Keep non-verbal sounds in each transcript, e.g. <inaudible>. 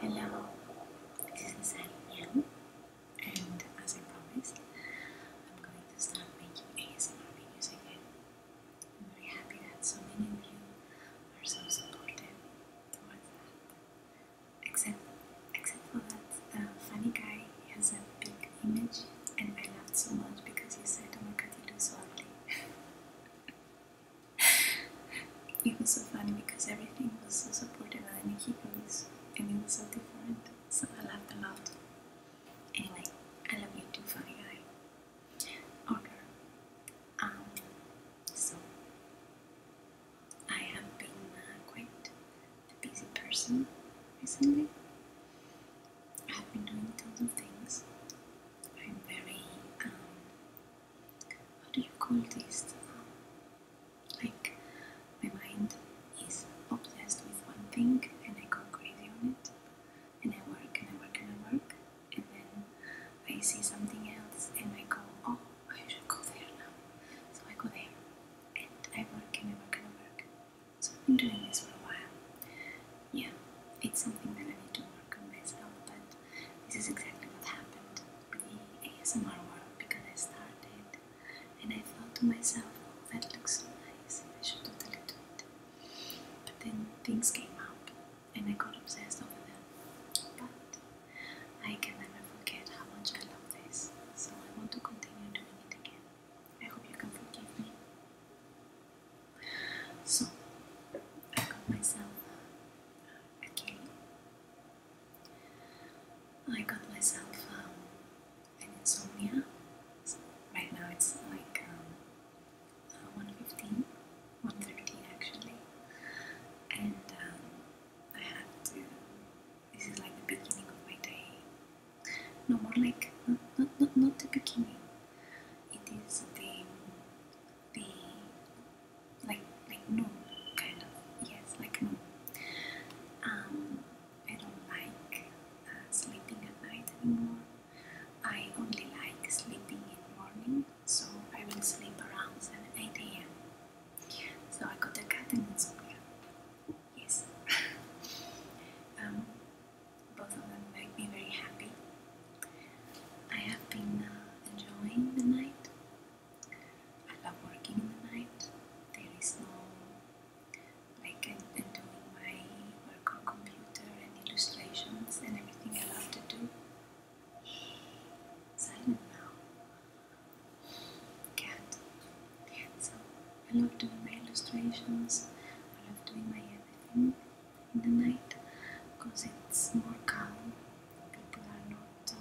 Hello, this is Ariane, and as I promised, I'm going to start making ASMR videos again. I'm very happy that so many of you are so supportive towards that. Except, except for that the funny guy has a big image, and I laughed so much because he said, I'm oh God, you look so ugly." <laughs> it was so funny because everything was so supportive and he key and it was so different. So I laughed a lot. Anyway, I love you too, funny guy. girl. Um, so, I have been uh, quite a busy person recently. I've been doing tons of things. I'm very um, how do you call this? Like, my mind is obsessed with one thing and I go crazy on it, and I work and I work and I work, and then I see something else and I go, oh, I should go there now. So I go there, and I work and I work and I work. So I've been doing this for a while. Yeah, it's something that I need to work on myself, this is exactly what happened with ASMR world because I started and I thought to myself, oh, that looks so nice, I should totally do it. But then things came up and I got obsessed over them. But I can never forget how much I love this, so I want to continue doing it again. I hope you can forgive me. So I got myself a I got myself um, an insomnia. right now it's like um, uh, 1.15, 1.13 actually. And um, I have to, this is like the beginning of my day. No more like, not, not, not, not the beginning. It is the the like like no kind of yes like no. Um, I don't like uh, sleeping at night anymore. I only like sleeping in morning, so I will sleep around 7 8 a.m. So I got the cat and insomnia. Yes. <laughs> Um, both of them make me very happy. I have been uh, enjoying the night. I love working in the night. There is no like and doing my work on computer and illustrations and everything I love to do. Silent now. Cat. So I love doing my illustrations. I love doing my everything in the night because it's more calm. People are not. Uh,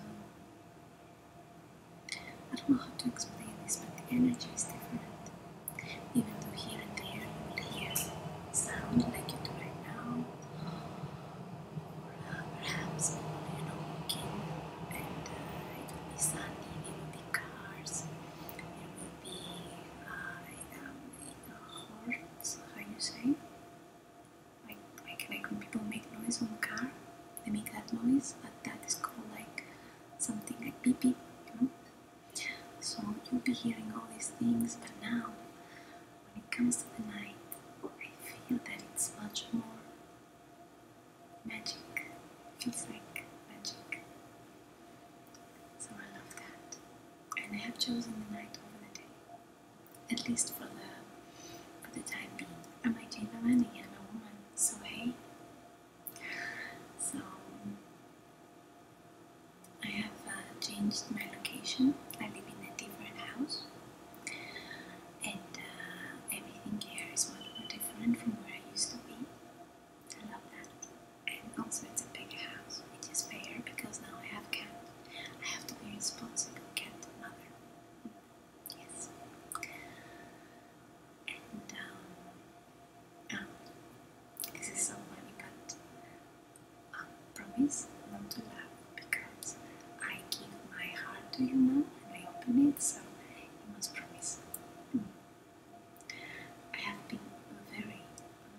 I don't know how to explain this, but the energy is different. Even though here and there you will hear sound like you do right now, perhaps you know walking and uh, it will be cars, there will be uh, in a, in that's how you say. Like, like, like when people make noise on the car, they make that noise, but that is called like something like beep beep, you know? So you'll be hearing all these things, but now when it comes to the night, I feel that it's much more magic. feels like magic. So I love that. And I have chosen the night over the day. At least for the for the time being. I might change my mind again, a woman. So hey. So I have uh, changed my location. I live in a different house, and uh, everything here is much more different from where I used to be. I love that. And also it's a bigger house, It is is because now I have a cat. I have to be responsible cat mother. Yes. And um, um this is so funny but I promise not to laugh because I give my heart to you now and I open it so you must promise. Hmm. I have been very,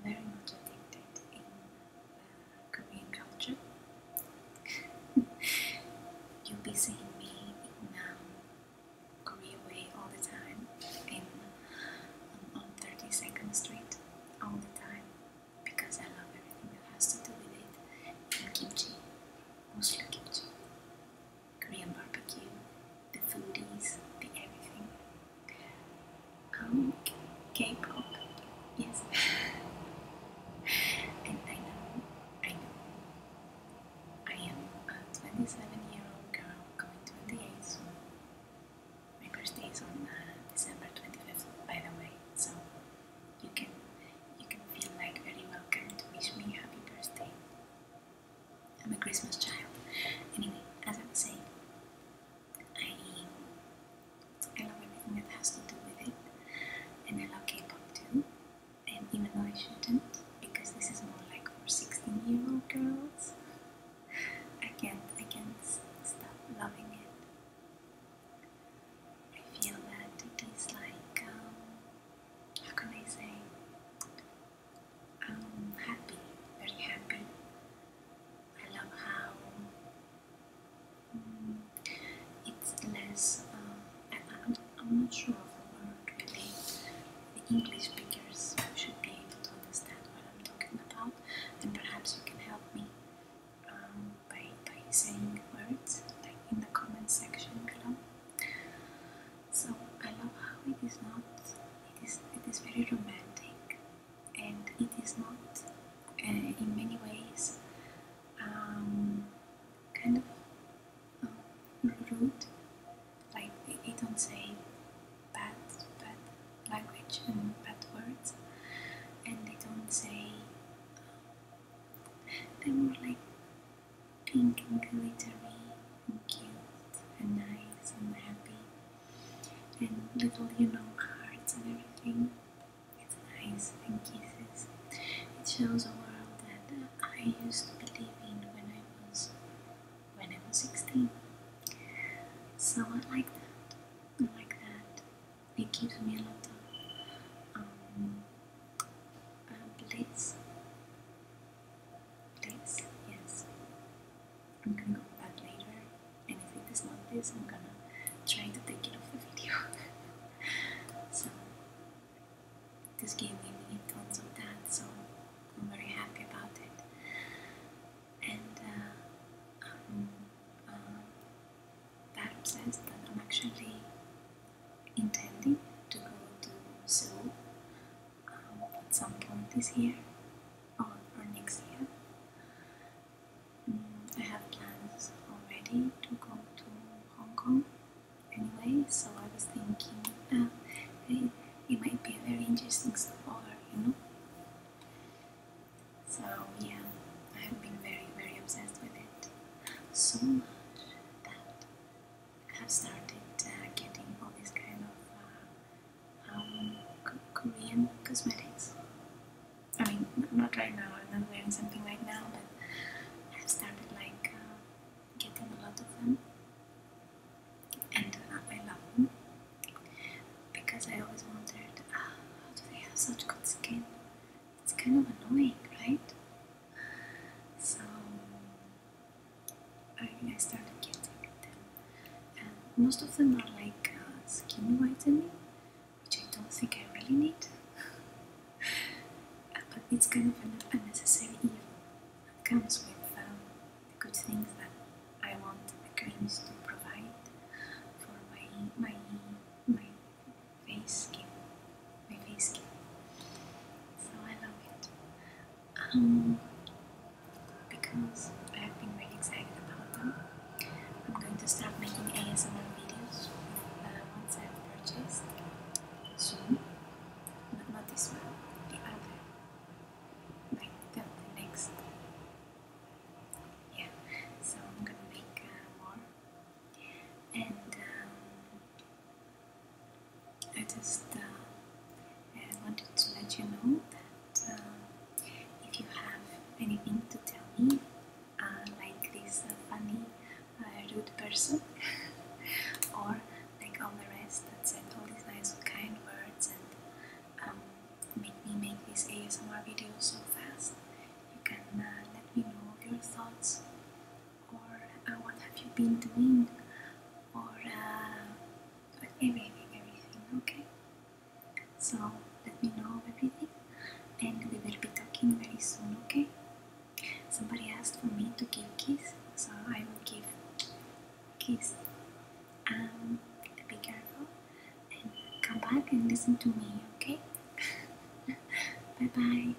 very much addicted in uh, Korean culture. <laughs> You'll be seeing me now, um, Korea Way all the time, in um, on 32nd Street all the time, because I love everything that has to do with it. kimchi, mostly kimchi, Korean barbecue, the foodies, the everything. Um, K-pop, yes. <laughs> and I know, I know, I am a 27-year-old girl going 28 soon. My birthday is on uh, December 25th, by the way, so you can you can feel like very welcome to wish me happy birthday. I'm a Christmas child. Anyway, as I was saying, I, love everything that has to do with it, and I love K-pop too, and even though I shouldn't, because this is more like for 16-year-old girls. I can't, I can't stop loving it. I feel that it is like, um, how can I say, I'm happy, very happy. I love how it's less. Uh, I'm, not sure if the word really. The English speakers should be able to understand what I'm talking about, and perhaps you can help me um, by by saying words like in the comment section below. So I love how it is not it is it is very romantic and it is not uh, in many ways um, kind of um, rude like they don't say bad bad language and bad words and they don't say they are more like pink and glittery and cute and nice and happy and little, you know, cards and everything. It's nice and kisses. It shows a world that I used to believe in when I was when I was 16. So I like that. like that. It gives me a lot of um, uh, bliss. Bliss, yes. I'm gonna go back later, and if it is not this, I'm gonna try to take it off the video. <laughs> so, this gave me tons of that, so I'm very happy about it. And that uh, um, uh, obsessed that I'm actually intending to go to Seoul um, some point this or, next year. Mm, I have plans already to go to Hong Kong anyway, so I was thinking uh, it, might be a very interesting stopover, you know. So yeah, I have been very very obsessed with it. So much that have started uh, getting all these kind of uh, um, Korean cosmetics. I mean, not right now, I'm not wearing something right now, but I've started like uh, getting a lot of them. And I love them because I always wondered ah, how do they have such good skin? It's kind of annoying, right? So I started getting them, and most of them are like uh, skin whitening, which I don't think I really need. <laughs> but it's kind of an unnecessary evil that comes with um, the good things that I want the creams to provide for my my my face skin, my face skin. So I love it um, because I have been really excited about them. I'm going to start making ASMR videos with, uh, once I have purchased soon, but not this one, the other, like the, next. Yeah, so I'm gonna make uh, more. And um, uh, I just wanted to let you know that uh, if you have anything to tell me, uh, like this funny, rude person, <laughs> or like all the rest that said all these nice, kind words and um, make me make these ASMR videos so fast, you can let me know your thoughts or what have you been doing or uh, everything, okay? So let me know everything and we will be talking very soon, okay? Somebody asked for me to give kiss, so I will give kiss. Um, be careful and come back and listen to me, okay? <laughs> bye bye.